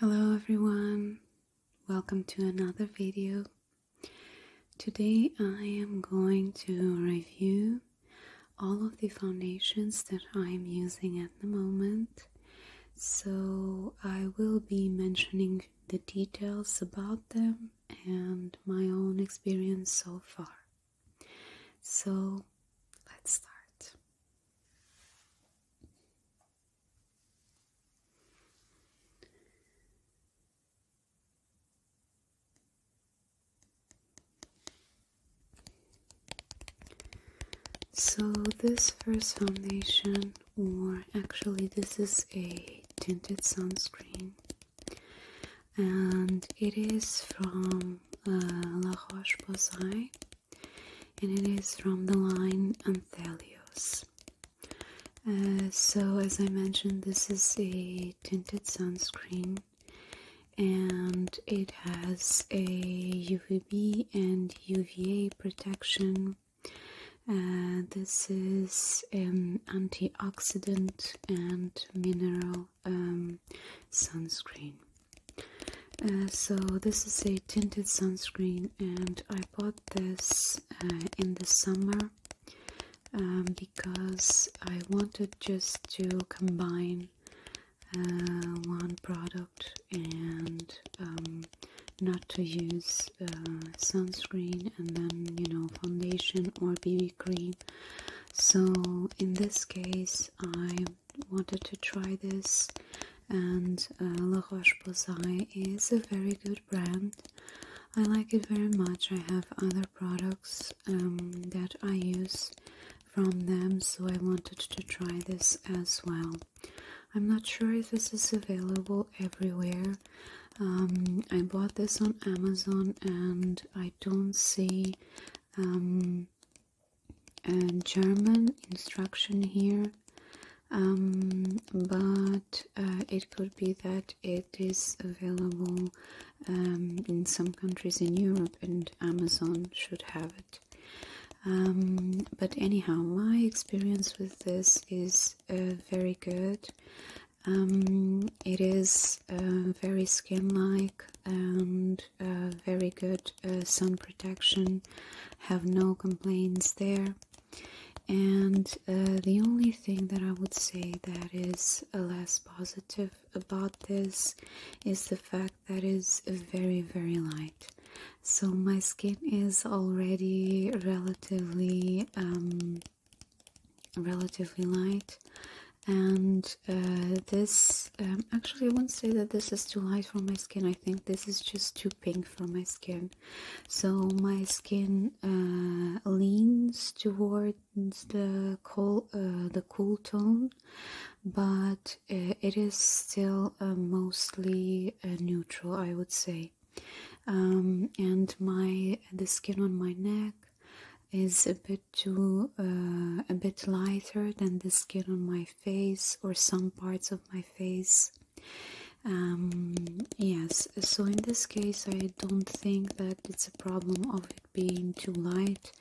Hello everyone, welcome to another video. Today I am going to review all of the foundations that I am using at the moment. So I will be mentioning the details about them and my own experience so far. So let's start. So, this first foundation, or actually, this is a tinted sunscreen, and it is from uh, La Roche Posay and it is from the line Anthelios. Uh, so, as I mentioned, this is a tinted sunscreen and it has a UVB and UVA protection. Uh, this is an antioxidant and mineral um, sunscreen. Uh, so this is a tinted sunscreen and I bought this uh, in the summer um, because I wanted just to combine uh, one product and um, not to use sunscreen and then you know foundation or BB cream so in this case I wanted to try this, and uh, La Roche Posay is a very good brand. I like it very much. I have other products um, that I use from them, so I wanted to try this as well. I'm not sure if this is available everywhere. Um, I bought this on Amazon and I don't see um, uh, German instruction here um, but uh, it could be that it is available um, in some countries in Europe and Amazon should have it um, but anyhow my experience with this is uh, very good it is uh, very skin like and very good uh, sun protection, have no complaints there. And uh, the only thing that I would say that is a uh, less positive about this is the fact that it's very, very light. So my skin is already relatively, um, relatively light and this um, actually I wouldn't say that this is too light for my skin I think this is just too pink coming from my skin so my skin uh, leans towards uh, the cool tone but uh, it is still mostly neutral i would say um, and my the skin on my neck is a bit too a bit lighter than the skin on my face or some parts of my face um, yes, so in this case, I don't think that it's a problem of it being too light.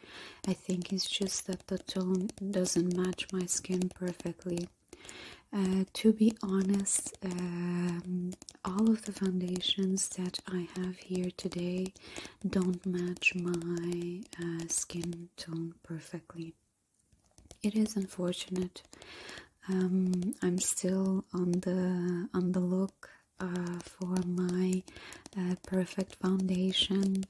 I think it's just that the tone doesn't match my skin perfectly. Uh, to be honest, um, all of the foundations that I have here today don't match my uh, skin tone perfectly. It is unfortunate. Um, I'm still on the on the look uh, for my uh, perfect foundation,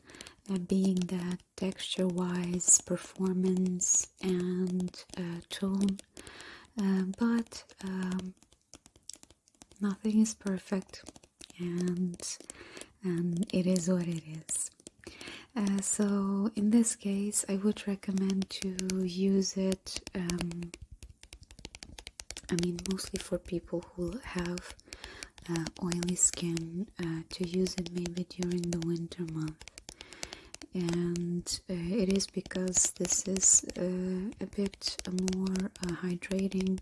uh, being that texture-wise, performance and tone. but um, nothing is perfect, and and um, it is what it is. Uh, so in this case, I would recommend to use it. Um, I mean, mostly for people who have uh, oily skin uh, to use it maybe during the winter month, and it is because this is a bit more hydrating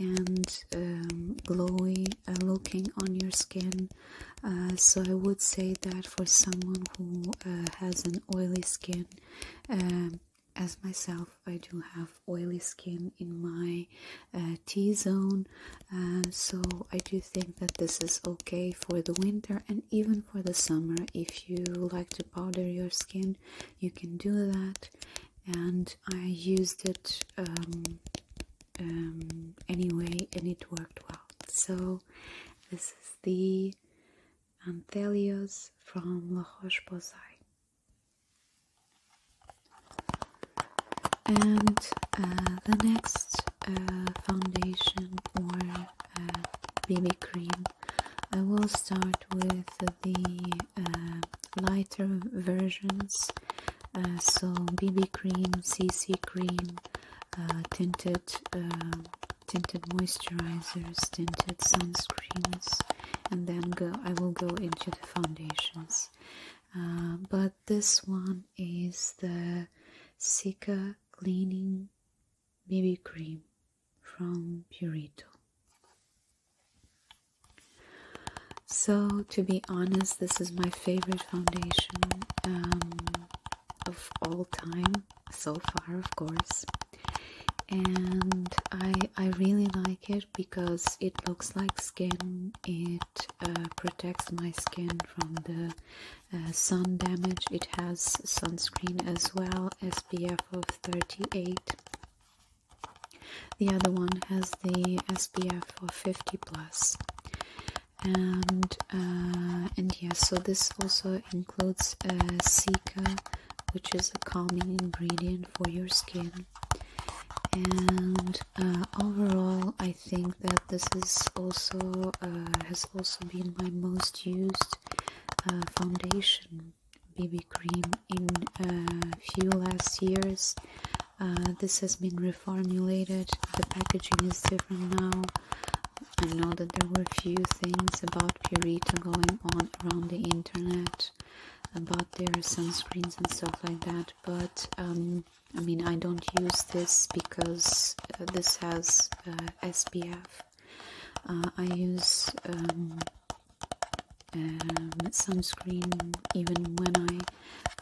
and um, glowing. Uh, looking on your skin uh, so i would say that for someone who uh, has an oily skin um, as myself i do have oily skin in my t-zone so i do think that this is okay for the winter and even for the summer if you like to powder your skin you can do that and i used it um, um, anyway, and it worked well. So, this is the Anthelios from La Roche Posay. And uh, the next uh, foundation or uh, BB cream, I will start with the uh, lighter versions. so BB cream, CC cream, uh, tinted uh, tinted moisturizers, tinted sunscreens, and then go. I will go into the foundations. Uh, but this one is the Sika Cleaning BB Cream from Purito. So, to be honest, this is my favorite foundation. Um, of all time so far, of course. And I I really like it because it looks like skin. It uh, protects my skin from the uh, sun damage. It has sunscreen as well, SPF of 38. The other one has the SPF of 50 plus and uh, and yeah so this also includes uh, Sika which is a calming ingredient for your skin and uh, overall I think that this is also uh, has also been my most used uh, foundation BB cream in a few last years this has been reformulated the packaging is different now I know that there were few things about Purita going on around the internet about their sunscreens and stuff like that, but um, I mean, I don't use this because uh, this has uh, SPF. Uh, I use um, um, sunscreen even when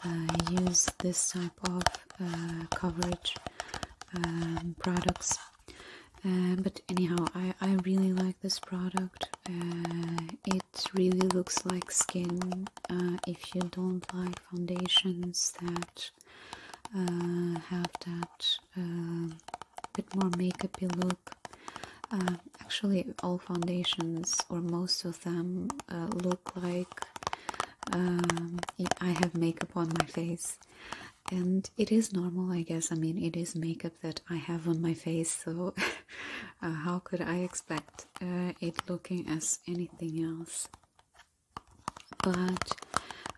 I use this type of coverage. Um, products. Uh, but anyhow, I, I really like this product. Uh, it really looks like skin. Uh, if you don't like foundations that have that um, bit more makeupy look, actually all foundations or most of them look like um, I have makeup on my face, and it is normal, I guess. I mean, it is makeup that I have on my face, so uh, how could I expect uh, it looking as anything else? But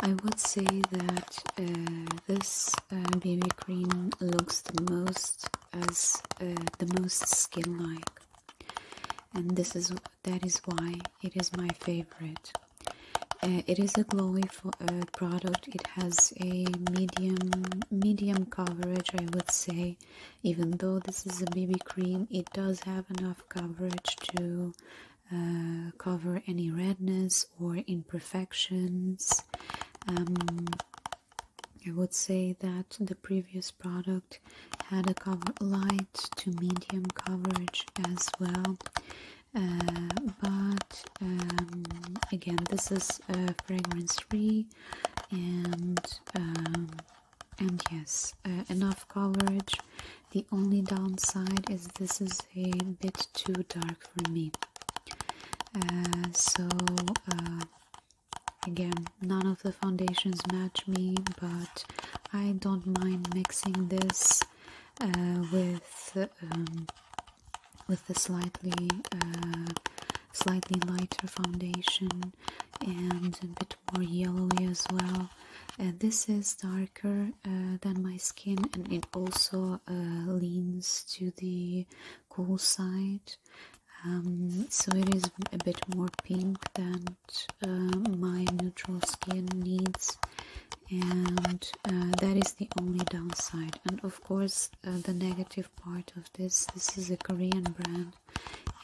I would say that uh, this uh, BB cream looks the most as the most skin-like, and this is that is why it is my favorite. Uh, it is a glowy for, uh, product. It has a medium medium coverage, I would say. Even though this is a BB cream, it does have enough coverage to uh, cover any redness or imperfections. Um, I would say that the previous product had a cover light to medium coverage as well uh, but um, again this is fragrance free and um, and yes uh, enough coverage the only downside is this is a bit too dark for me uh, so again none of the foundations match me but I don't mind mixing this uh, with um, with a slightly uh, slightly lighter foundation and a bit more yellowy as well. Uh, this is darker uh, than my skin and it also leans to the cool side. Um, so it is a bit more pink than uh, my neutral skin needs and uh, that is the only downside and of course uh, the negative part of this this is a korean brand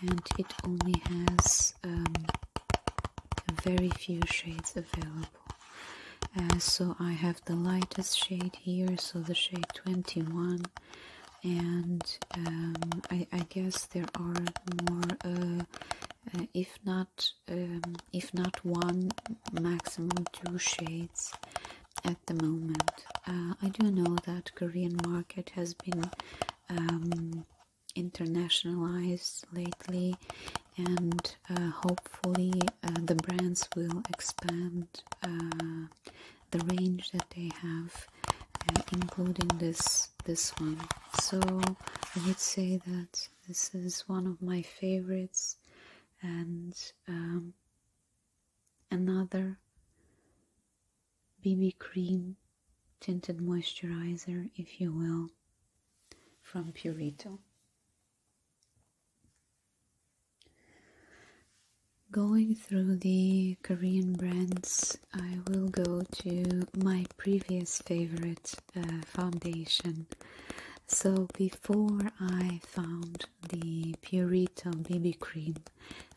and it only has um, very few shades available uh, so i have the lightest shade here so the shade 21 and um, I, guess there are more if not um, if not one, maximum two shades at the moment. Uh, I do know that Korean market has been um, internationalized lately and uh, hopefully uh, the brands will expand the range that they have including this this one so I would say that this is one of my favorites, and um, another BB cream tinted moisturizer, if you will, from Purito. Going through the Korean brands, I will go to my previous favorite uh, foundation. So before I found the Purito BB cream,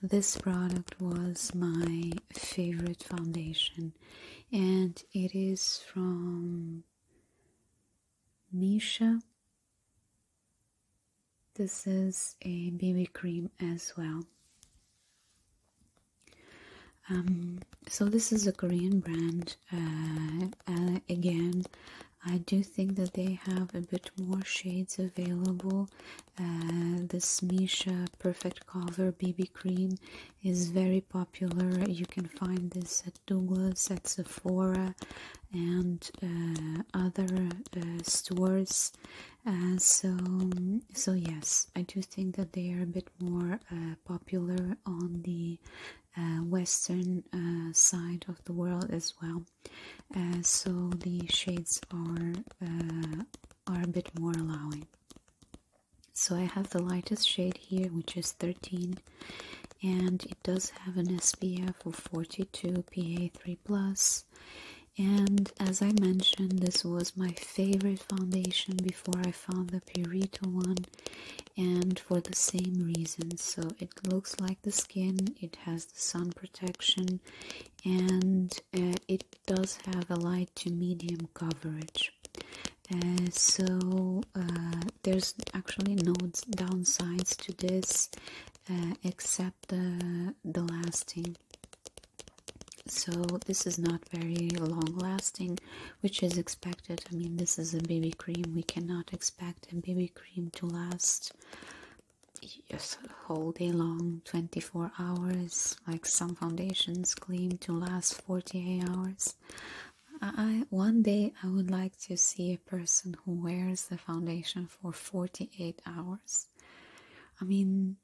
this product was my favorite foundation, and it is from Misha. This is a BB cream as well. Um, so this is a Korean brand. Uh, uh, again, I do think that they have a bit more shades available. Uh, this Misha Perfect Cover BB Cream is very popular. You can find this at Douglas, at Sephora, and uh, other stores. so, so yes, I do think that they are a bit more popular on the uh, western uh, side of the world as well. Uh, so the shades are are a bit more allowing. So I have the lightest shade here, which is 13, and it does have an SPF of 42 PA3+. plus. And as I mentioned, this was my favorite foundation before I found the Purito one and for the same reason so it looks like the skin it has the sun protection and uh, it does have a light to medium coverage uh, so uh, there's actually no downsides to this except the, the lasting so this is not very long lasting which is expected i mean this is a baby cream we cannot expect a baby cream to last yes whole day long 24 hours like some foundations claim to last 48 hours I one day I would like to see a person who wears the foundation for 48 hours. I mean,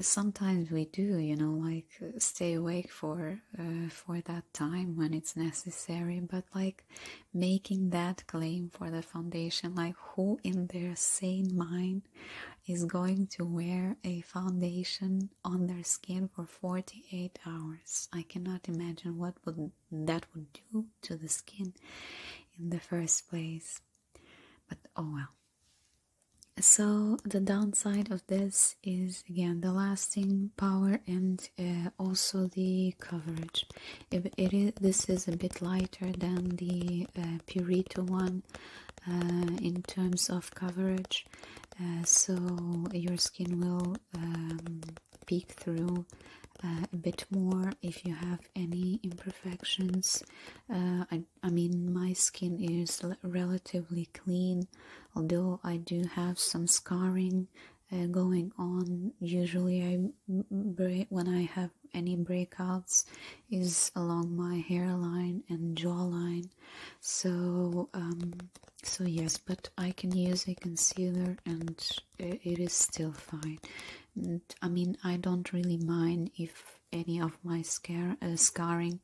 sometimes we do, you know, like stay awake for uh, for that time when it's necessary, but like making that claim for the foundation, like who in their sane mind is going to wear a foundation on their skin for 48 hours? I cannot imagine what that would do to the skin in the first place. But oh well. So, the downside of this is again the lasting power and uh, also the coverage if it is this is a bit lighter than the uh, Purito one uh, in terms of coverage so your skin will um, peek through a bit more if you have any imperfections I mean my skin is relatively clean although I do have some scarring uh, going on usually I break when I have any breakouts is along my hairline and jawline so um, so yes but I can use a concealer and uh, it is still fine I mean I don't really mind if any of my scar uh, scarring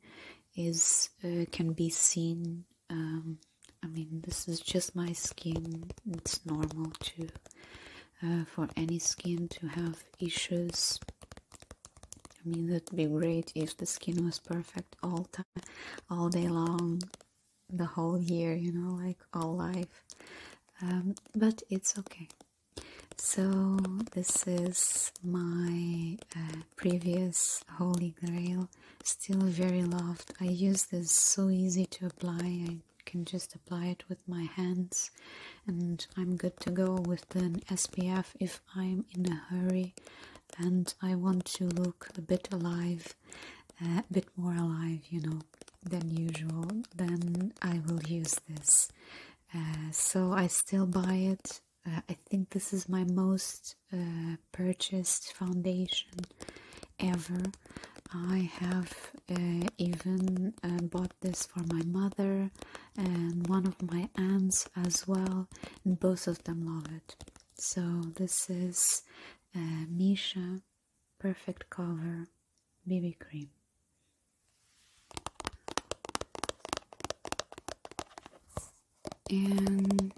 is can be seen um, I mean this is just my skin it's normal to uh, for any skin to have issues I mean that'd be great if the skin was perfect all time all day long the whole year you know like all life um, but it's okay so this is my uh, previous holy grail still very loved i use this so easy to apply i can just apply it with my hands and i'm good to go with an spf if i'm in a hurry and i want to look a bit alive a bit more alive you know than usual then i will use this uh, so i still buy it uh, I think this is my most uh, purchased foundation ever. I have uh, even bought this for my mother and one of my aunts as well, and both of them love it. So, this is Misha Perfect Cover BB Cream and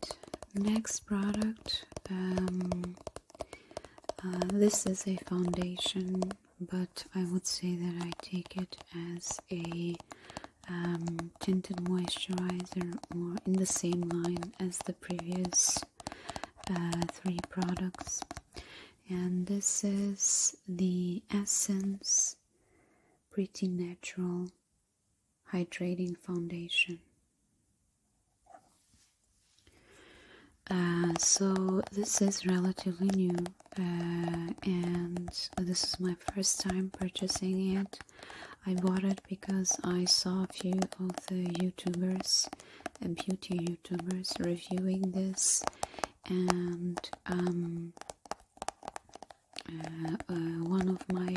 next product um, uh, this is a foundation but I would say that I take it as a um, tinted moisturizer or in the same line as the previous uh, three products and this is the Essence Pretty Natural hydrating foundation. Uh, so this is relatively new uh, and this is my first time purchasing it. I bought it because I saw a few of the YouTubers, uh, beauty YouTubers reviewing this and um, uh, uh, one of my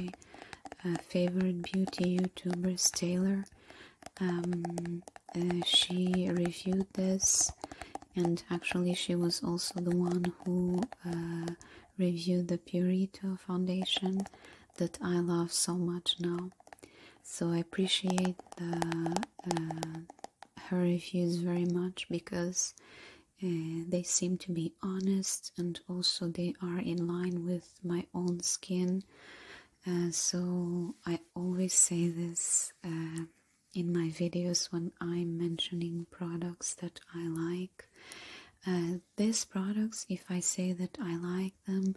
uh, favorite beauty YouTubers, Taylor. Um, she reviewed this, and actually, she was also the one who reviewed the Purito foundation that I love so much now. So I appreciate her reviews very much because they seem to be honest and also they are in line with my own skin uh, so i always say this uh, in my videos when i'm mentioning products that i like uh, these products if i say that i like them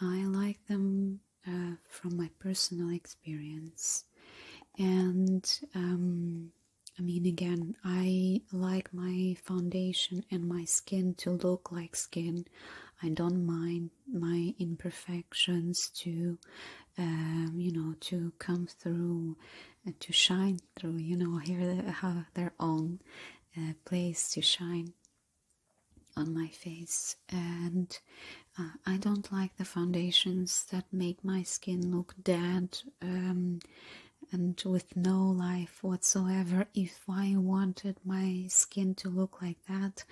i like them from my personal experience and um, i mean again i like my foundation and my skin to look like skin. I don't mind my imperfections to, um, you know, to come through, uh, to shine through. You know, here they have their own uh, place to shine on my face and uh, I don't like the foundations that make my skin look dead um, and with no life whatsoever. If I wanted my skin to look like that,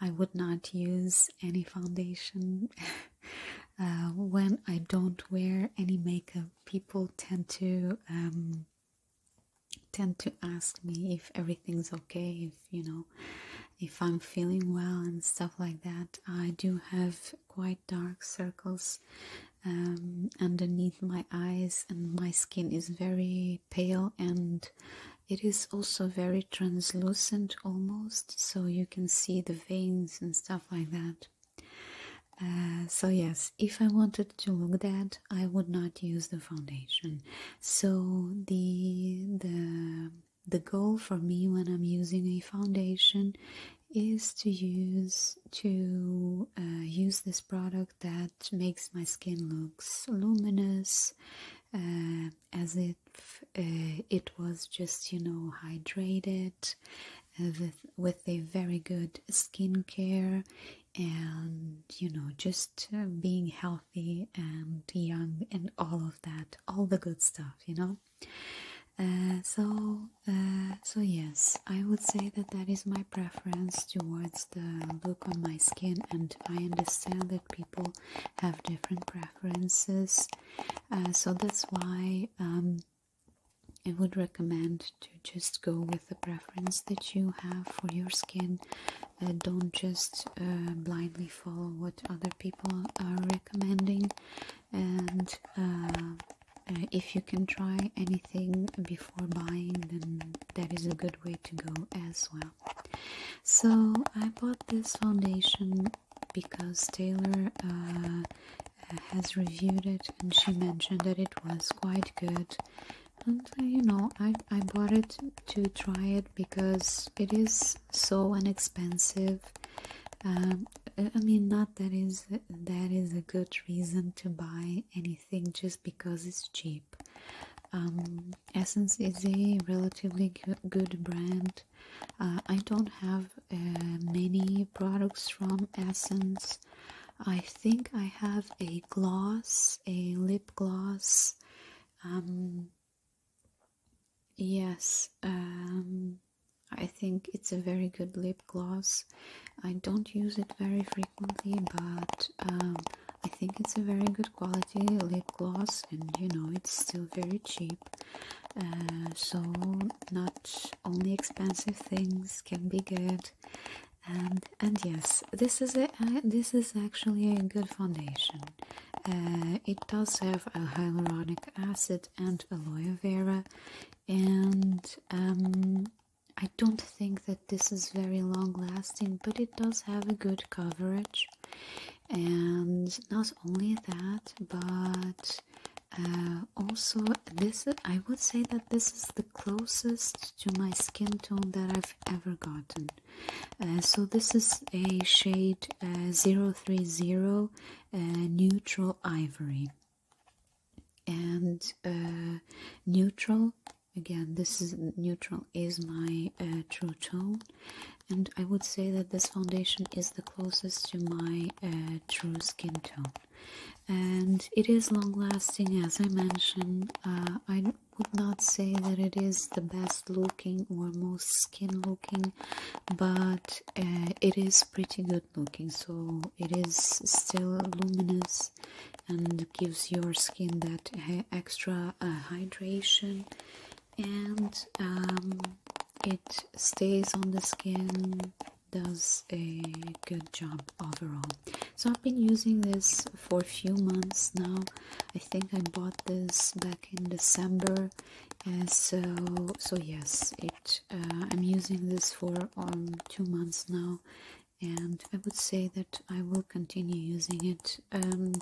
I would not use any foundation. Uh, when I don't wear any makeup, people tend to um, tend to ask me if everything's okay, if you know, if I'm feeling well and stuff like that. I do have quite dark circles um, underneath my eyes, and my skin is very pale and it is also very translucent almost, so you can see the veins and stuff like that. Uh, so yes, if I wanted to look that, I would not use the foundation. So the the the goal for me when I'm using a foundation is to use to uh, use this product that that makes my skin looks luminous uh, as if uh, it was just you know hydrated uh, with with a very good skincare and you know just being healthy and young and all of that all the good stuff you know so so yes I would say that that is my preference towards the look on my skin, and I understand that people have different preferences, uh, so that's why um, I would recommend to just go with the preference that you have for your skin. Uh, don't just uh, blindly follow what other people are recommending, and uh, if you can try anything before buying then that is a good way to go as well so i bought this foundation because taylor uh, has reviewed it and she mentioned that it was quite good and uh, you know I, I bought it to try it because it is so inexpensive um, I mean, not that is that is a good reason to buy anything anything just because it's cheap. Um, Essence is a relatively good brand. Uh, I don't have uh, many products from Essence. I think I have a gloss, a lip gloss. Um, yes, um, I think it's a very good lip gloss. I don't use it very frequently but um, I think it's a very good quality lip gloss, and you know it's still very cheap. Uh, so not only expensive things can be good, and and yes, this is a uh, this is actually a good foundation. Uh, it does have a hyaluronic acid and aloe vera, and um, I don't think that this is very long lasting, but it does have a good coverage. And not only that, but uh, also this I would say that this is the closest to my skin tone that I've ever gotten. Uh, so this is a shade uh, 030 uh, neutral ivory and neutral again this is neutral is my uh, true tone and i would say that this foundation is the closest to my uh, true skin tone and it is long lasting as i mentioned uh, i would not say that it is the best looking or most skin looking but it is pretty good looking so it is still luminous and gives your skin that extra uh, hydration and um, it stays on the skin does a good job overall so i've been using this for a few months now i think i bought this back in december so so yes it uh, i'm using this for um, two months now and I would say that I will continue using it um,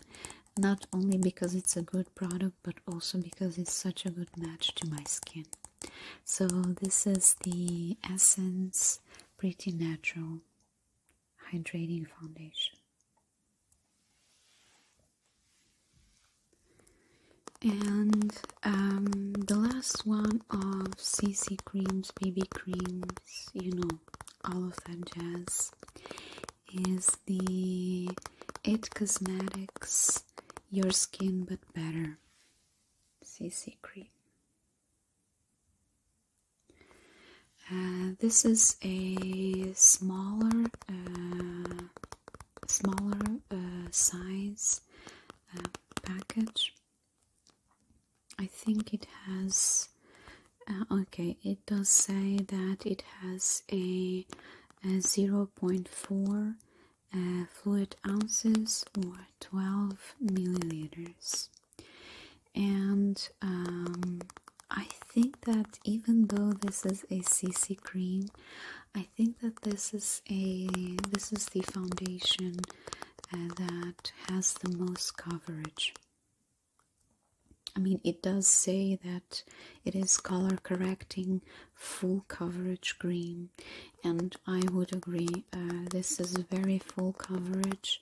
not only because it's a good product but also because it's such a good match to my skin. So, this is the Essence Pretty Natural Hydrating Foundation. And um, the last one of CC Creams, BB Cream you know, all of that jazz, is the It Cosmetics Your Skin But Better CC Cream. Uh, this is a smaller, uh, smaller uh, size package I think it has uh, okay it does say that it has a, 0.4 uh, fluid ounces or 12 milliliters and um, I think that even though this is a CC cream I think that this is a this is the foundation uh, that has the most coverage. I mean, it does say that it is color correcting full coverage green, and I would agree. Uh, this is very full coverage.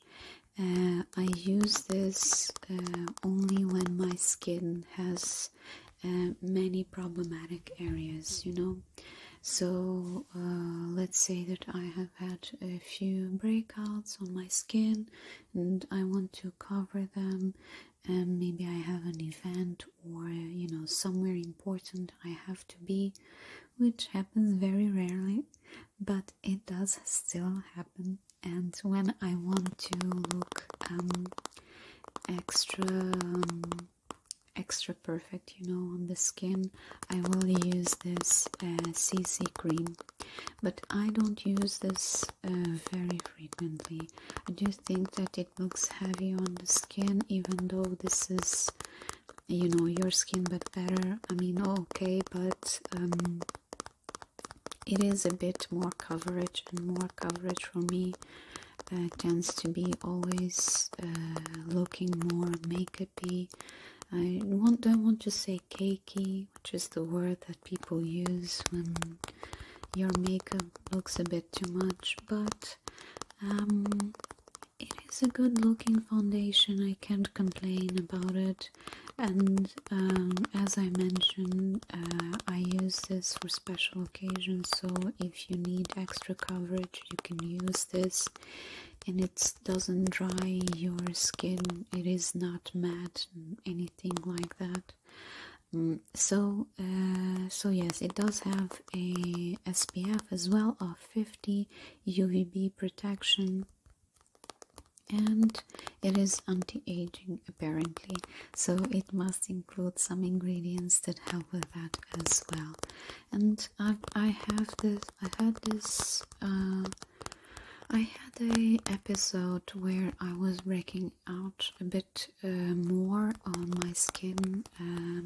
Uh, I use this uh, only when my skin has many problematic areas, you know. So let's say that I have had a few breakouts on my skin and I want to cover them and maybe I have an event or you know somewhere important I have to be which happens very rarely but it does still happen and when I want to look um, extra um, extra perfect you know on the skin I will use this CC uh, cream, but I don't use this uh, very frequently. I do think that it looks heavy on the skin, even though this is, you know, your skin, but better. I mean, okay, but um, it is a bit more coverage, and more coverage for me. Uh, tends to be always looking more makeup-y I want, don't want to say cakey, which is the word that people use when your makeup looks a bit too much, but um, it is a good looking foundation, I can't complain about it. And um, as I mentioned, uh, I use this for special occasions, so if you need extra coverage, you can use this. And it doesn't dry your skin it is not matte anything like that mm, so uh, so yes it does have a spf as well of 50 uvb protection and it is anti-aging apparently so it must include some ingredients that help with that as well and I've, i have this i had this uh, I had a episode where I was breaking out a bit uh, more on my skin, uh,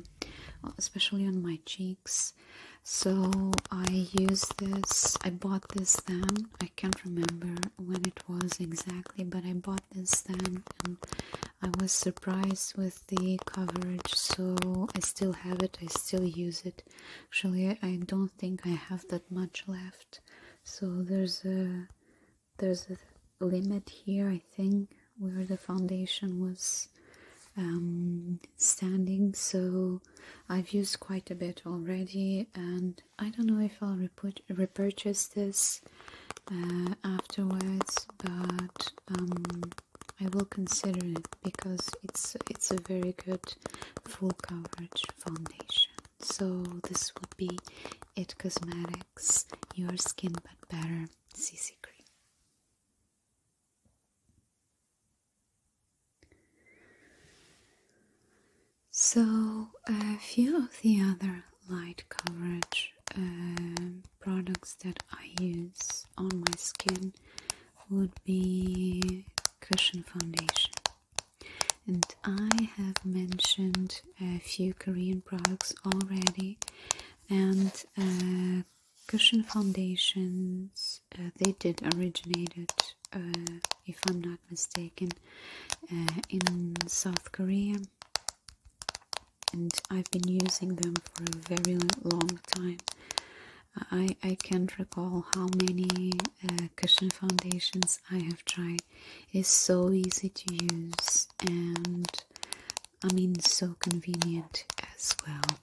especially on my cheeks. So I used this. I bought this then. I can't remember when it was exactly, but I bought this then, and I was surprised with the coverage. So I still have it. I still use it Actually, I don't think I have that much left. So there's a there's a limit here, I think, where the foundation was um, standing. So I've used quite a bit already, and I don't know if I'll repurchase this uh, afterwards, but um, I will consider it because it's it's a very good full coverage foundation. So this would be It Cosmetics Your Skin But Better CC Cream. So a few of the other light coverage um, products that I use on my skin would be cushion foundation and I have mentioned a few Korean products already and uh, cushion foundations uh, they did originated uh, if I'm not mistaken in South Korea and I've been using them for a very long time I, I can't recall how many uh, cushion foundations I have tried. It's so easy to use and I mean so convenient as well.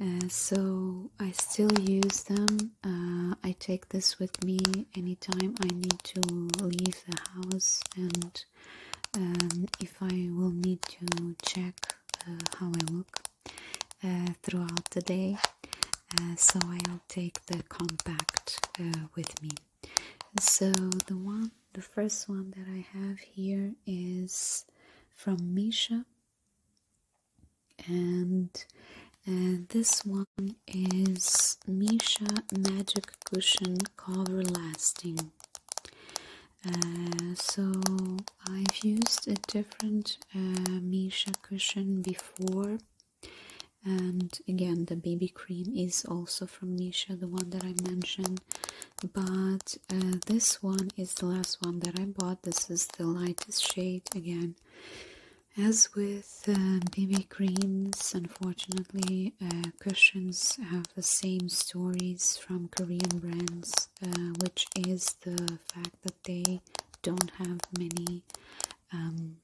Uh, so I still use them. Uh, I take this with me anytime I need to leave the house and um, if I will need to check how I look. Uh, throughout the day, uh, so I'll take the compact uh, with me. So the one, the first one that I have here is from Misha, and this one is Misha Magic Cushion Cover Lasting. so I've used a different uh, Misha cushion before and again the baby cream is also from Misha the one that I mentioned but uh, this one is the last one that I bought this is the lightest shade again as with uh, baby creams unfortunately uh, cushions have the same stories from Korean brands uh, which is the fact that they don't have many um,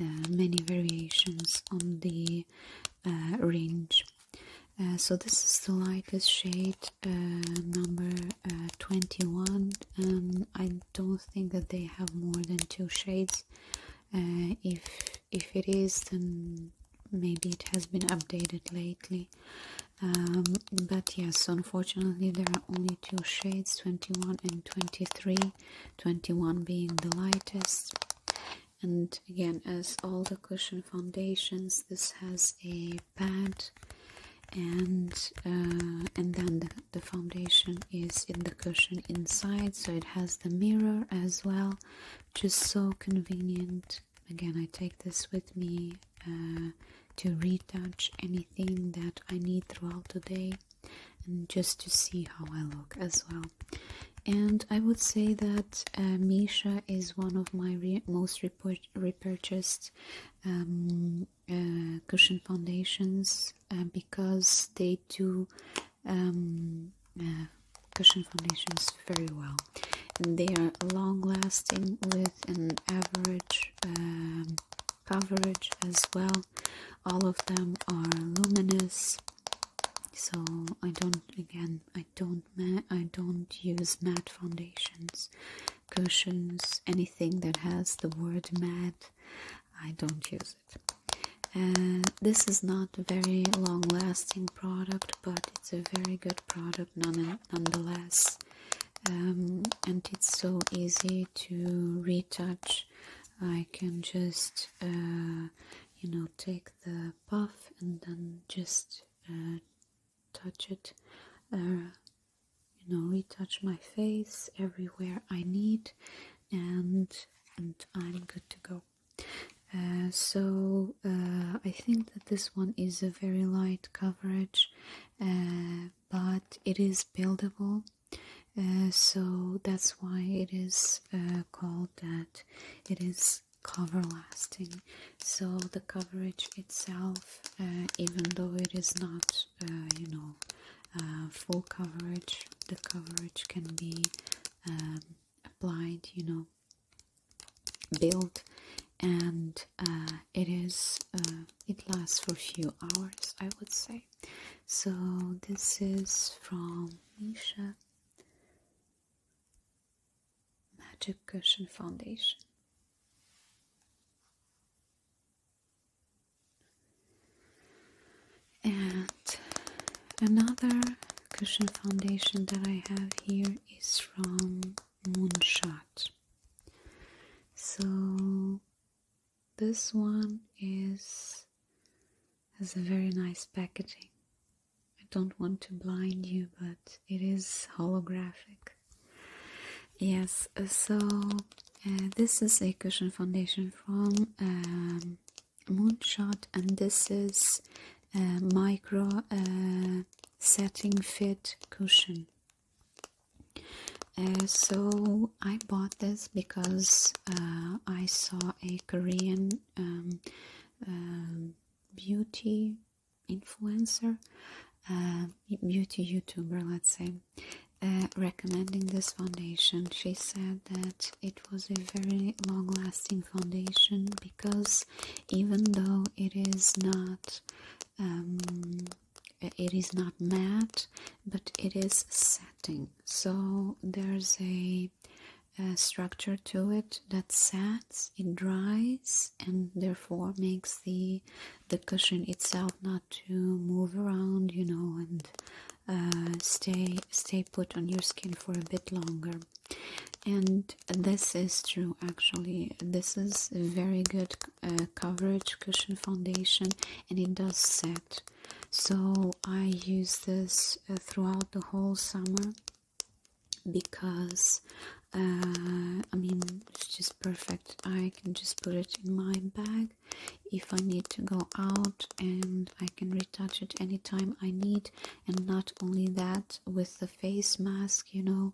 uh, many variations on the uh, range. Uh, so this is the lightest shade, number 21. and I don't think that they have more than two shades. if if it is, then maybe it has been updated lately. Um, but yes unfortunately there are only two shades 21 and 23 21 being the lightest and again as all the cushion foundations this has a pad and uh, and then the foundation is in the cushion inside so it has the mirror as well just so convenient again i take this with me uh, to retouch anything that I need throughout the day and just to see how I look as well. And I would say that uh, Misha is one of my most repurchased um, uh, cushion foundations because they do um, cushion foundations very well. And they are long lasting with an average um, coverage as well. All of them are luminous, so I don't again I don't I don't use matte foundations, cushions, anything that has the word matte. I don't use it. Uh, this is not a very long lasting product, but it's a very good product none nonetheless um, and it's so easy to retouch I can just uh, you know take the puff and then just uh, touch it uh, you know retouch my face everywhere I need and and I'm good to go so I think that this one is a very light coverage but it is buildable uh, so that's why it is uh, called that it is cover lasting so the coverage itself uh, even though it is not you know full coverage the coverage can be um, applied you know built and uh, it is uh, it lasts for a few hours i would say so this is from misha magic cushion foundation and another cushion foundation that i have here is from moonshot so this one is has a very nice packaging i don't want to blind you but it is holographic yes so uh, this is a cushion foundation from um, moonshot and this is a micro uh, setting fit cushion uh, so I bought this because uh, I saw a Korean um, um, beauty influencer, uh, beauty YouTuber, let's say, recommending this foundation. She said that it was a very long lasting foundation because even though it is not um, it is not matte but it is setting. so there's a, structure to it that sets it dries and therefore makes the the cushion itself not to move around you know and uh, stay stay put on your skin for a bit longer and this is true actually this is a very good uh, coverage cushion foundation and it does set so i use this uh, throughout the whole summer because uh, i mean it's just perfect i can just put it in my bag if i need to go out and i can retouch it anytime i need and not only that with the face mask you know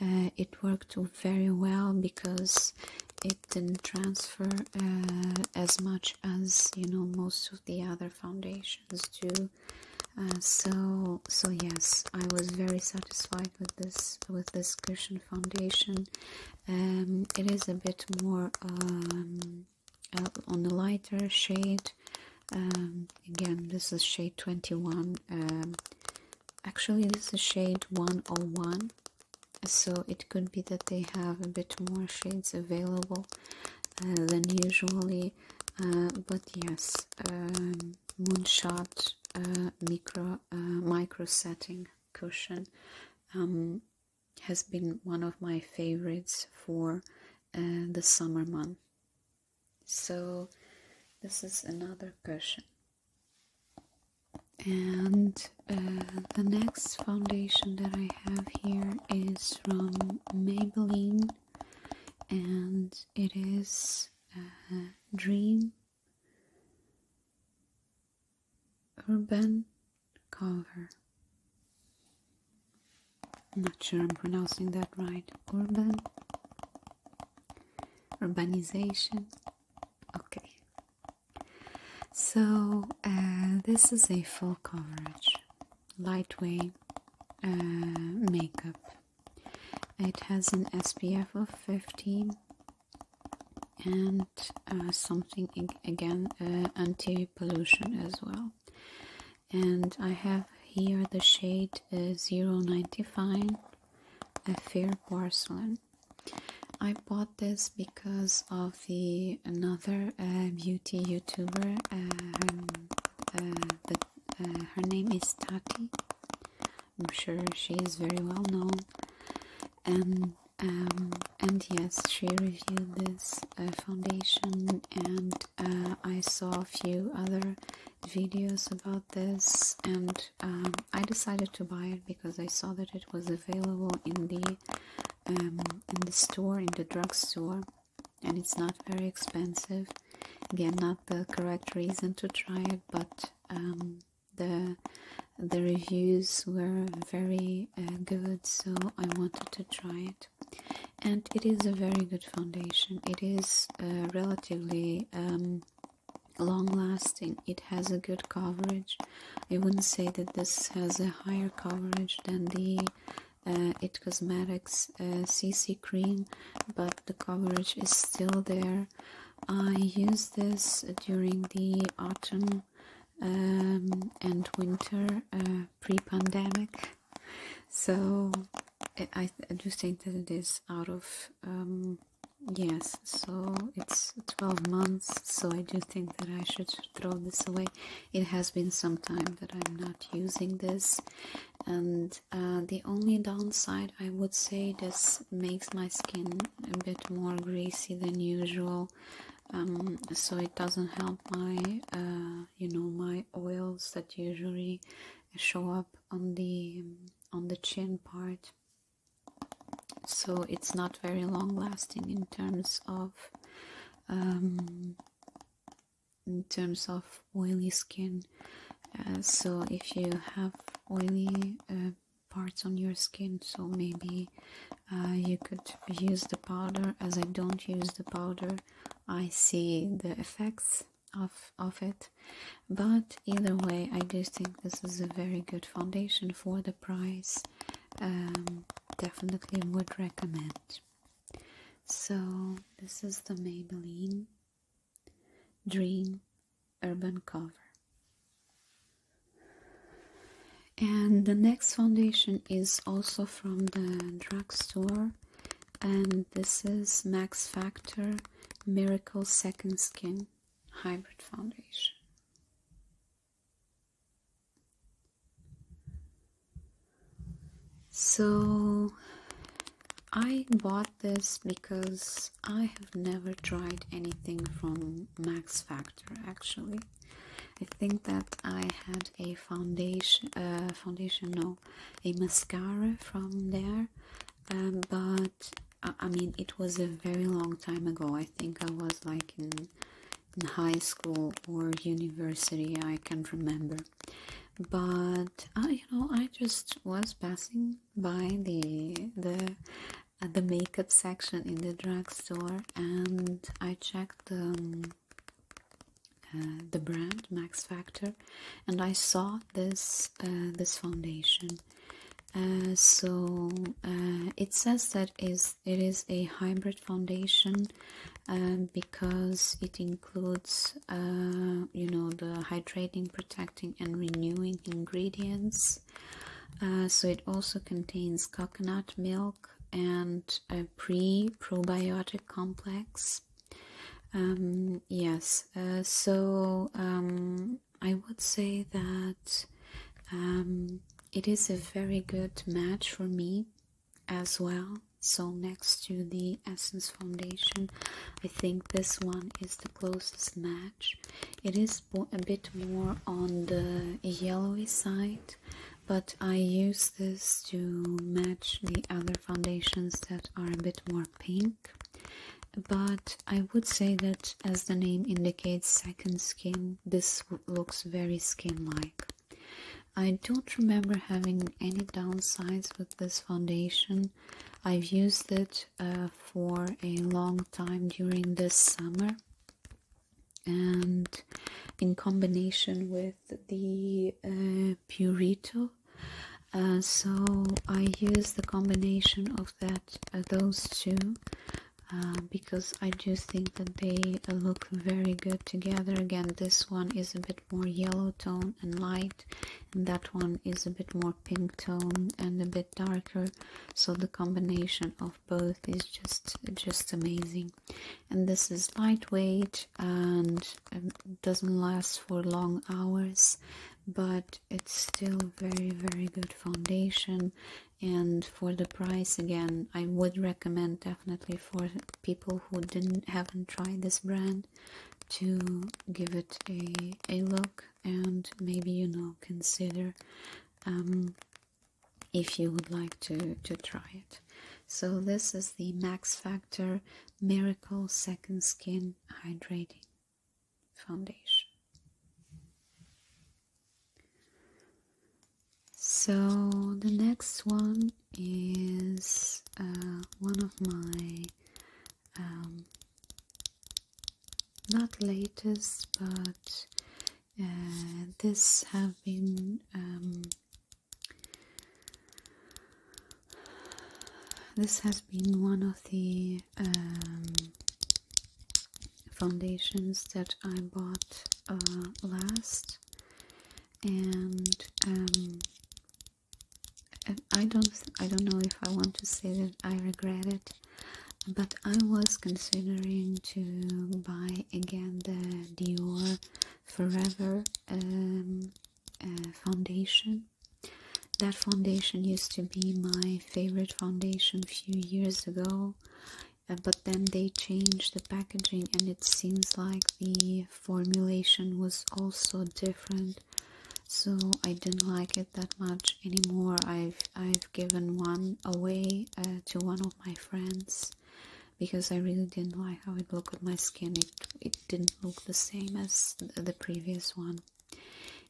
uh, it worked very well because it didn't transfer uh, as much as you know most of the other foundations do uh, so so yes I was very satisfied with this with this cushion foundation um, it is a bit more um, on the lighter shade um, again this is shade 21 actually this is shade 101 so it could be that they have a bit more shades available uh, than usually uh, but yes um, moonshot uh, micro micro setting cushion um, has been one of my favorites for the summer month so this is another cushion and uh, the next foundation that I have here is from Maybelline and it is uh, Dream Urban Cover. I'm not sure I'm pronouncing that right. Urban Urbanization Okay, so uh, this is a full coverage, lightweight uh, makeup. It has an SPF of 15 and uh, something again anti-pollution as well. And I have here the shade uh, 095, a fair porcelain. I bought this because of the another uh, beauty YouTuber. Um, uh, uh, her, name is Tati. I'm sure she is very well known. And um, and yes, she reviewed this uh, foundation, and I saw a few other videos about this, and um, I decided to buy it because I saw that it was available in the um, in the store, in the drugstore, and it's not very expensive. Again, not the correct reason to try it, but um, the the reviews were very uh, good, so I wanted to try it. And it is a very good foundation. It is uh, relatively um, long lasting it has a good coverage i wouldn't say that this has a higher coverage than the uh, it cosmetics cc uh, cream but the coverage is still there i use this during the autumn um, and winter uh, pre-pandemic so I, I do think that it is out of um, yes so it's 12 months so i do think that i should throw this away it has been some time that i'm not using this and uh, the only downside i would say this makes my skin a bit more greasy than usual um, so it doesn't help my uh, you know my oils that usually show up on the um, on the chin part so it's not very long lasting in terms of um, in terms of oily skin uh, so if you have oily uh, parts on your skin so maybe uh, you could use the powder as I don't use the powder I see the effects of, of it but either way I do think this is a very good foundation for the price um, definitely would recommend so this is the maybelline dream urban cover and the next foundation is also from the drugstore and this is max factor miracle second skin hybrid foundation so I bought this because I have never tried anything from Max Factor actually. I think that I had a foundation, uh, foundation no, a mascara from there, um, but I, mean, it was a very long time ago. I think I was like in, in high school or university. I can't remember. But uh, you know, I just was passing by the the uh, the makeup section in the drugstore, and I checked the. Um, uh, the brand Max Factor, and I saw this this foundation, uh, so uh, it says that is it is a hybrid foundation um, because it includes uh, you know the hydrating, protecting, and renewing ingredients. so it also contains coconut milk and a pre probiotic complex. Um, yes, so um, I would say that um, it is a very good match for me as well. So, next to the Essence Foundation, I think this one is the closest match. It is a bit more on the yellowy side, but I use this to match the other foundations that are a bit more pink. But I would say that as the name indicates second skin, this looks very skin-like. I don't remember having any downsides with this foundation. I've used it uh, for a long time during this summer and in combination with the uh, Purito. Uh, so I use the combination of that, those two uh, because I do think that they look very good together. Again, this one is a bit more yellow tone and light, and that one is a bit more pink tone and a bit darker. So the combination of both is just just amazing. And this is lightweight and um, doesn't last for long hours, but it's still very very good foundation and for the price again i would recommend definitely for people who didn't haven't tried this brand to give it a a look and maybe you know consider um, if you would like to to try it so this is the max factor miracle second skin hydrating foundation so the next one is uh, one of my um, not latest, but uh, this have been um, this has been one of the um, foundations that I bought uh, last and um, I don't I don't know if I want to say that I regret it but I was considering to buy again the Dior Forever um, uh, foundation that foundation used to be my favorite foundation a few years ago uh, but then they changed the packaging and it seems like the formulation was also different so i didn't like it that much anymore i've i've given one away uh, to one of my friends because i really didn't like how it looked on my skin it it didn't look the same as the previous one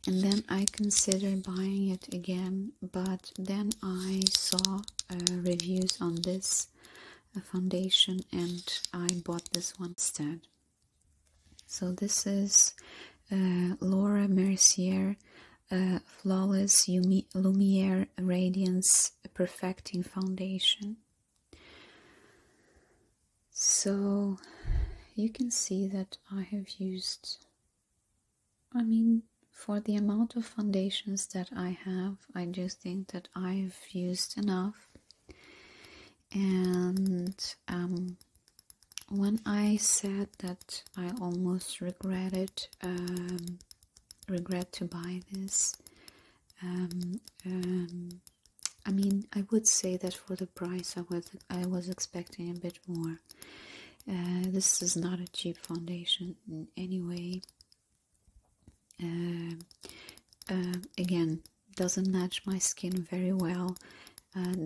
and then i considered buying it again but then I saw uh, reviews on this uh, foundation and I bought this one instead. So this is uh, Laura Mercier Flawless Lumiere Radiance Perfecting Foundation. So you can see that I have used I mean, for the amount of foundations that I have, I do think that I've used enough. And um, when I said that I almost regretted, um, regret to buy this, um, um, I mean, I would say that for the price, I was I was expecting a bit more. Uh, this is not a cheap foundation in any way. Uh, uh, again, doesn't match my skin very well.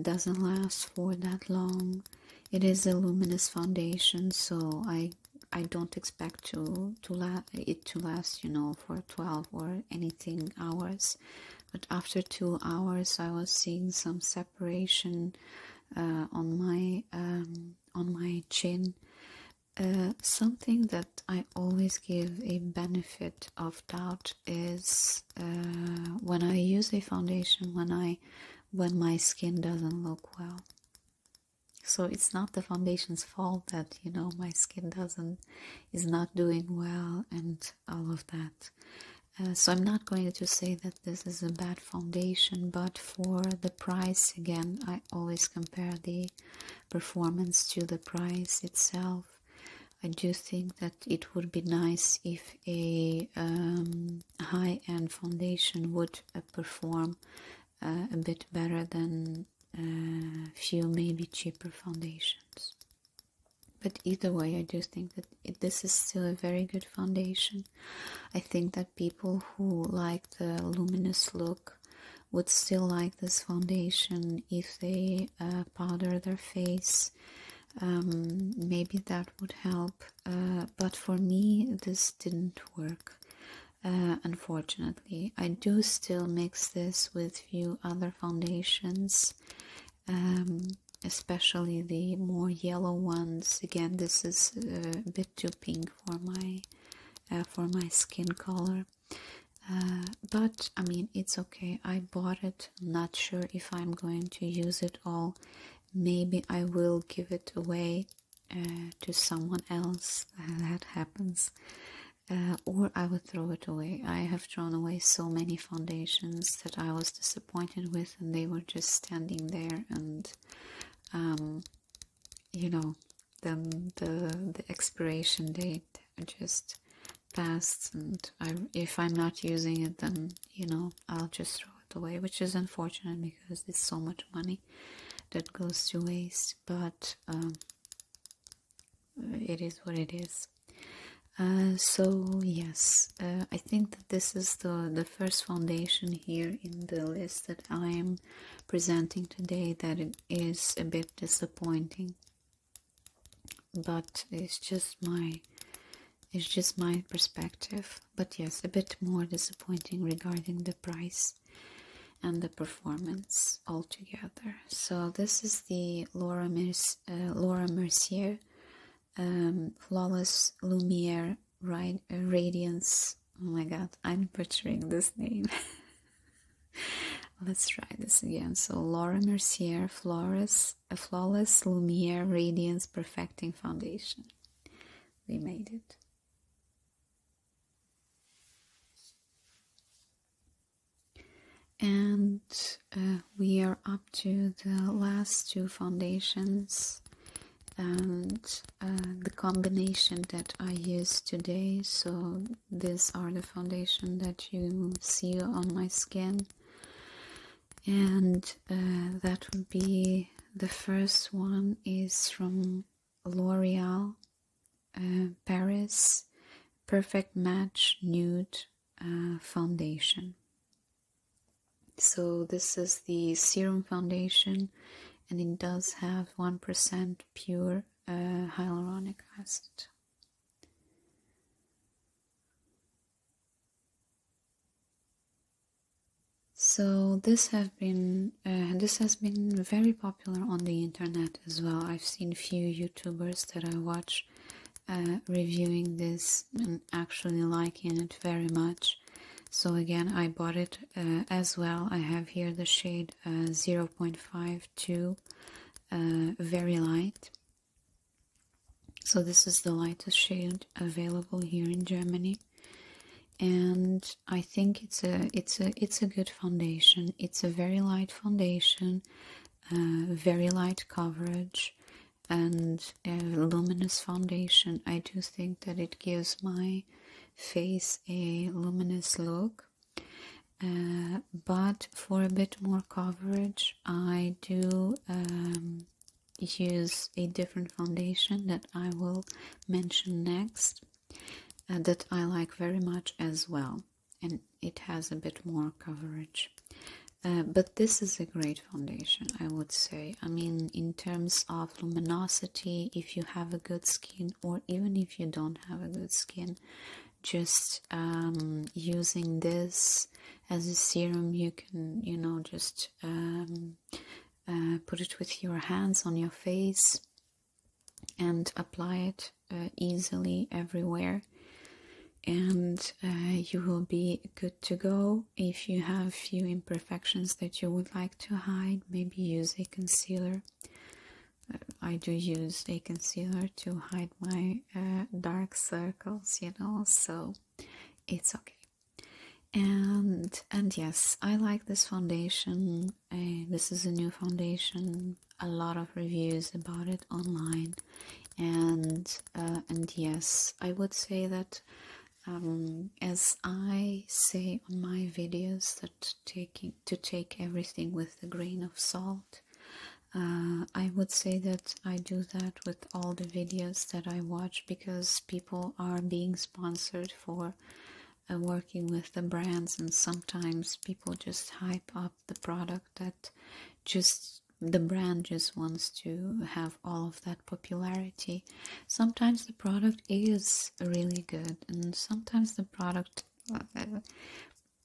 doesn't last for that long. It is a luminous foundation, so I I don't expect to to la it to last, you know, for 12 or anything hours. But after two hours, I was seeing some separation uh, on my um, on my chin. Uh, something that I always give a benefit of doubt is uh, when I use a foundation when I when my skin doesn't look well. So it's not the foundation's fault that you know my skin doesn't is not doing well and all of that. so I'm not going to say that this is a bad foundation, but for the price again, I always compare the performance to the price itself. I do think that it would be nice if a um, high end foundation would uh, perform uh, a bit better than a uh, few maybe cheaper foundations. But either way, I do think that this is still a very good foundation. I think that people who like the luminous look would still like this foundation if they uh, powder their face. Um, maybe that would help, uh, but for me, this didn't work. Uh, unfortunately, I do still mix this with few other foundations, um, especially the more yellow ones. Again, this is a bit too pink for my uh, for my skin color uh, but I mean it's okay I bought it not sure if I'm going to use it all maybe I will give it away uh, to someone else that happens or I will throw it away. I have thrown away so many foundations that I was disappointed with, and they were just standing there and um, you know then the the expiration date just passed and if i'm not using it then you know i'll just throw it away which is unfortunate because it's so much money that goes to waste but um, it is what it is uh, so yes uh, i I think that this is the, the first foundation here in the list that I am presenting today that it is a bit disappointing but it's just my it's just my perspective but yes a bit more disappointing regarding the price and the performance altogether so this is the Laura, Merc uh, Laura Mercier um, Flawless Lumiere right radiance oh my god i'm butchering this name let's try this again so laura mercier flawless a flawless lumiere radiance perfecting foundation we made it and uh, we are up to the last two foundations and uh, the combination that I use today so these are the foundation that you see on my skin and uh, that would be the first one is from L'Oreal uh, Paris Perfect Match Nude Foundation so this is the serum foundation and it does have 1% pure uh, hyaluronic acid. So this have been uh, this has been very popular on the internet as well. I've seen few YouTubers that I watch uh, reviewing this and actually liking it very much so again I bought it uh, as well I have here the shade uh, zero point five two, uh, very light so this is the lightest shade available here in Germany and I think it's a it's a it's a good foundation it's a very light foundation very light coverage and a luminous foundation I do think that it gives my face a luminous look uh, but for a bit more coverage I do um, use a different foundation that I will mention next uh, that I like very much as well and it has a bit more coverage uh, but this is a great foundation I would say I mean, in terms of luminosity, if you have a good skin, or even if you don't have a good skin, just um, using this as a serum, you can, you know, just um, uh, put it with your hands on your face and apply it uh, easily everywhere and uh, you will be good to go if you have few imperfections that you would like to hide maybe use a concealer uh, I do use a concealer to hide my uh, dark circles you know so it's okay and and yes I like this foundation uh, this is a new foundation a lot of reviews about it online and and yes I would say that um, as I say on my videos that taking to take everything with a grain of salt uh, I would say that I do that with all the videos that I watch because people are being sponsored for uh, working with the brands and sometimes people just hype up the product that just the brand just wants to have all of that popularity Sometimes the product is really good, and sometimes the product uh,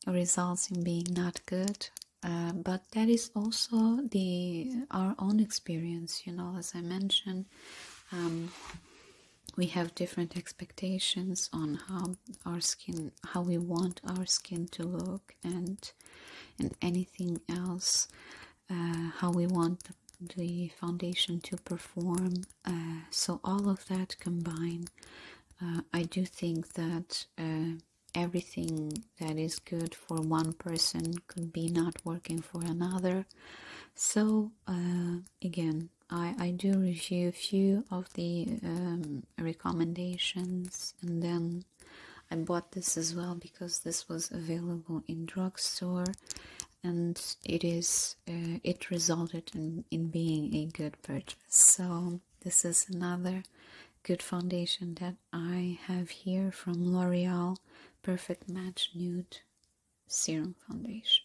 results in being not good. Uh, but that is also the our own experience, you know. As I mentioned, um, we have different expectations on how our skin, how we want our skin to look, and and anything else. Uh, how we want the foundation to perform. Uh, so all of that combined, uh, I do think that everything that is good for one person could be not working for another. So again, I, I do review a few of the um, recommendations and then I bought this as well because this was available in drugstore and it is uh, it resulted in, in being a good purchase so this is another good foundation that i have here from l'oreal perfect match nude serum foundation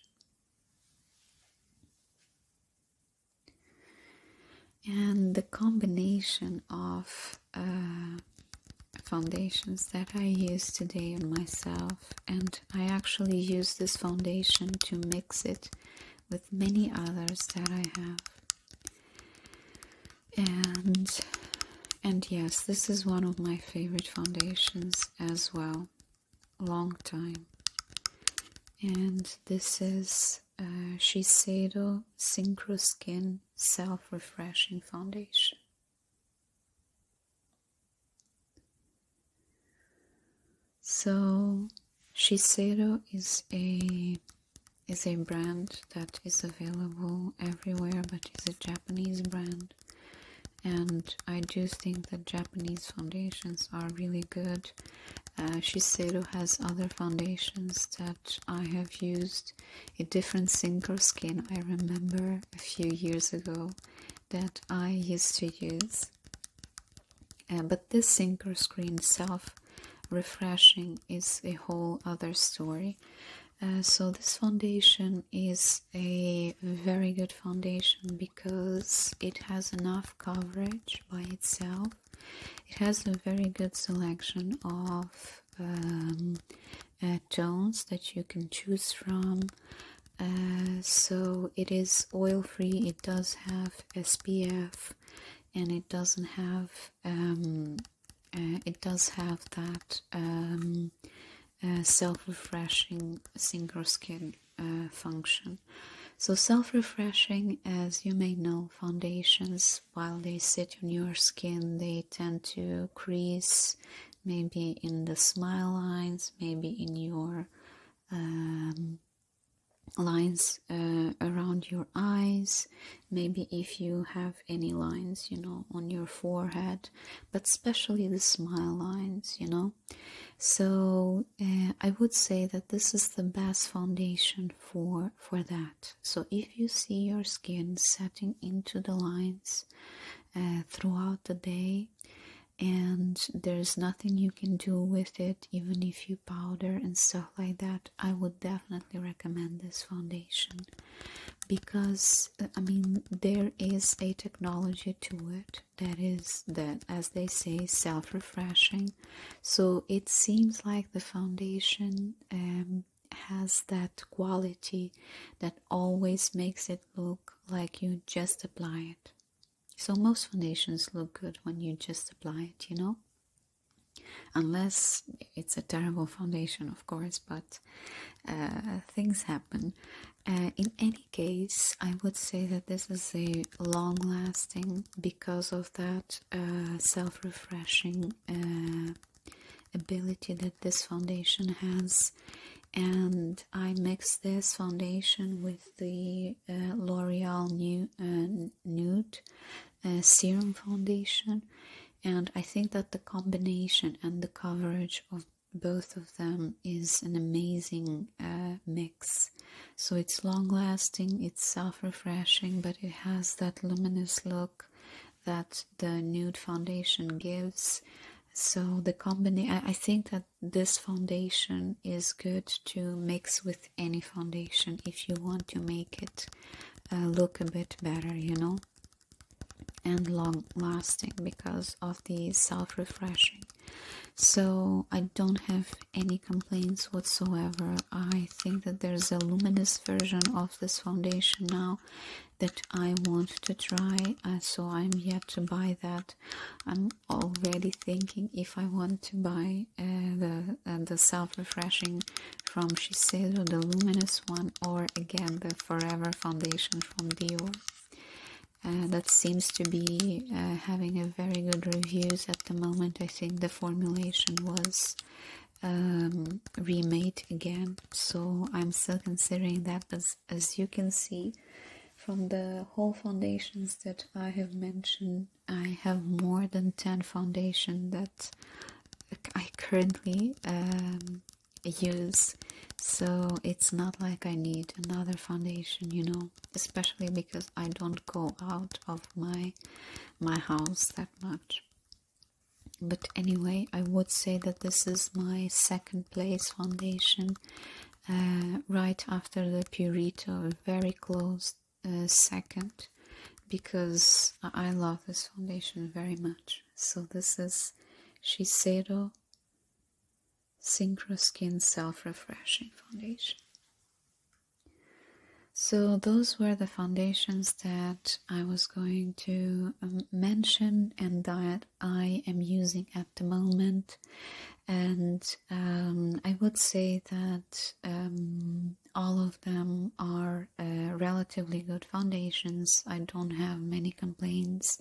and the combination of uh, foundations that i use today on myself and I actually use this foundation to mix it with many others that I have. And and yes, this is one of my favorite foundations as well. Long time. And this is Shiseido Synchro Skin Self Refreshing Foundation. So Shiseido is a is a brand that is available everywhere but is a Japanese brand and I do think that Japanese foundations are really good. Uh, Shiseido has other foundations that I have used a different sinker skin I remember a few years ago that I used to use. Uh, but this sinker screen self refreshing is a whole other story. Uh, so this foundation is a very good foundation because it has enough coverage by itself. It has a very good selection of um, uh, tones that you can choose from. Uh, so it is oil free, it does have SPF and it doesn't have um, uh, it does have that um, uh, self-refreshing synchro skin function so self-refreshing as you may know foundations while they sit on your skin they tend to crease maybe in the smile lines, maybe in your um, lines uh, around your eyes, maybe if you have any lines, you know, on your forehead, but especially the smile lines, you know. So uh, I would say that this is the best foundation for for that. So if you see your skin setting into the lines uh, throughout the day, and there's nothing you can do with it even if you powder and stuff like that i would definitely recommend this foundation because uh, i mean there is a technology to it that is that as they say self-refreshing so it seems like the foundation um, has that quality that always makes it look like you just apply it. So most foundations look good when you just apply it, you know? Unless it's a terrible foundation, of course, but uh, things happen. Uh, in any case, I would say that this is a long lasting because of that uh, self refreshing ability that this foundation has and I mix this foundation with the uh, L'Oreal New uh, Nude uh, Serum Foundation, and I think that the combination and the coverage of both of them is an amazing mix. So it's long lasting, it's self refreshing, but it has that luminous look that the nude foundation gives. So the company, I think that this foundation is good to mix with any foundation if you want to make it uh, look a bit better, you know, and long lasting because of the self refreshing. So, I don't have any complaints whatsoever. I think that there's a luminous version of this foundation now that I want to try, uh, so I'm yet to buy that I'm already thinking if I want to buy uh, the uh, the self refreshing from Shiseido, the luminous one, or again the Forever foundation from Dior. Uh, that seems to be having a very good reviews at the moment. I think the formulation was um, remade again, so I'm still considering that. But as you can see, from the whole foundations that I have mentioned, I have more than 10 foundation that I currently um, use. So it's not like I need another foundation, you know, especially because I don't go out of my my house that much. But anyway, I would say that this is my second place foundation uh, right after the Purito, very close uh, second, because I love this foundation very much. So this is Shiseido Synchro Skin Self Refreshing Foundation. So, those were the foundations that I was going to um, mention and di I am using at the moment. And um, I would say that um, all of them are uh, relatively good foundations. I don't have many complaints.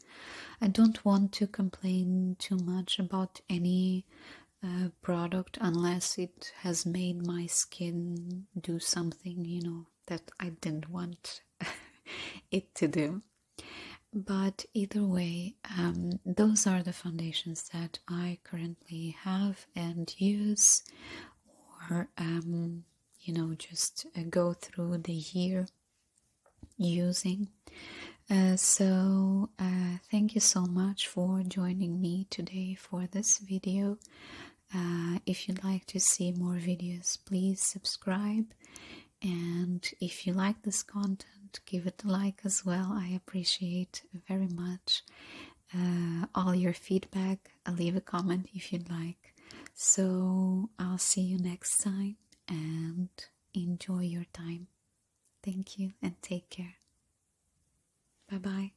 I don't want to complain too much about any uh, product unless it has made my skin do something, you know, that I didn't want it to do. But either way, um, those are the foundations that I currently have and use, or um, you know, just uh, go through the year using. Uh, so, uh, thank you so much for joining me today for this video. if you'd like to see more videos, please subscribe and if you like this content, give it a like as well. I appreciate very much uh, all your feedback. I'll uh, leave a comment if you'd like. So I'll see you next time and enjoy your time. Thank you and take care. Bye bye.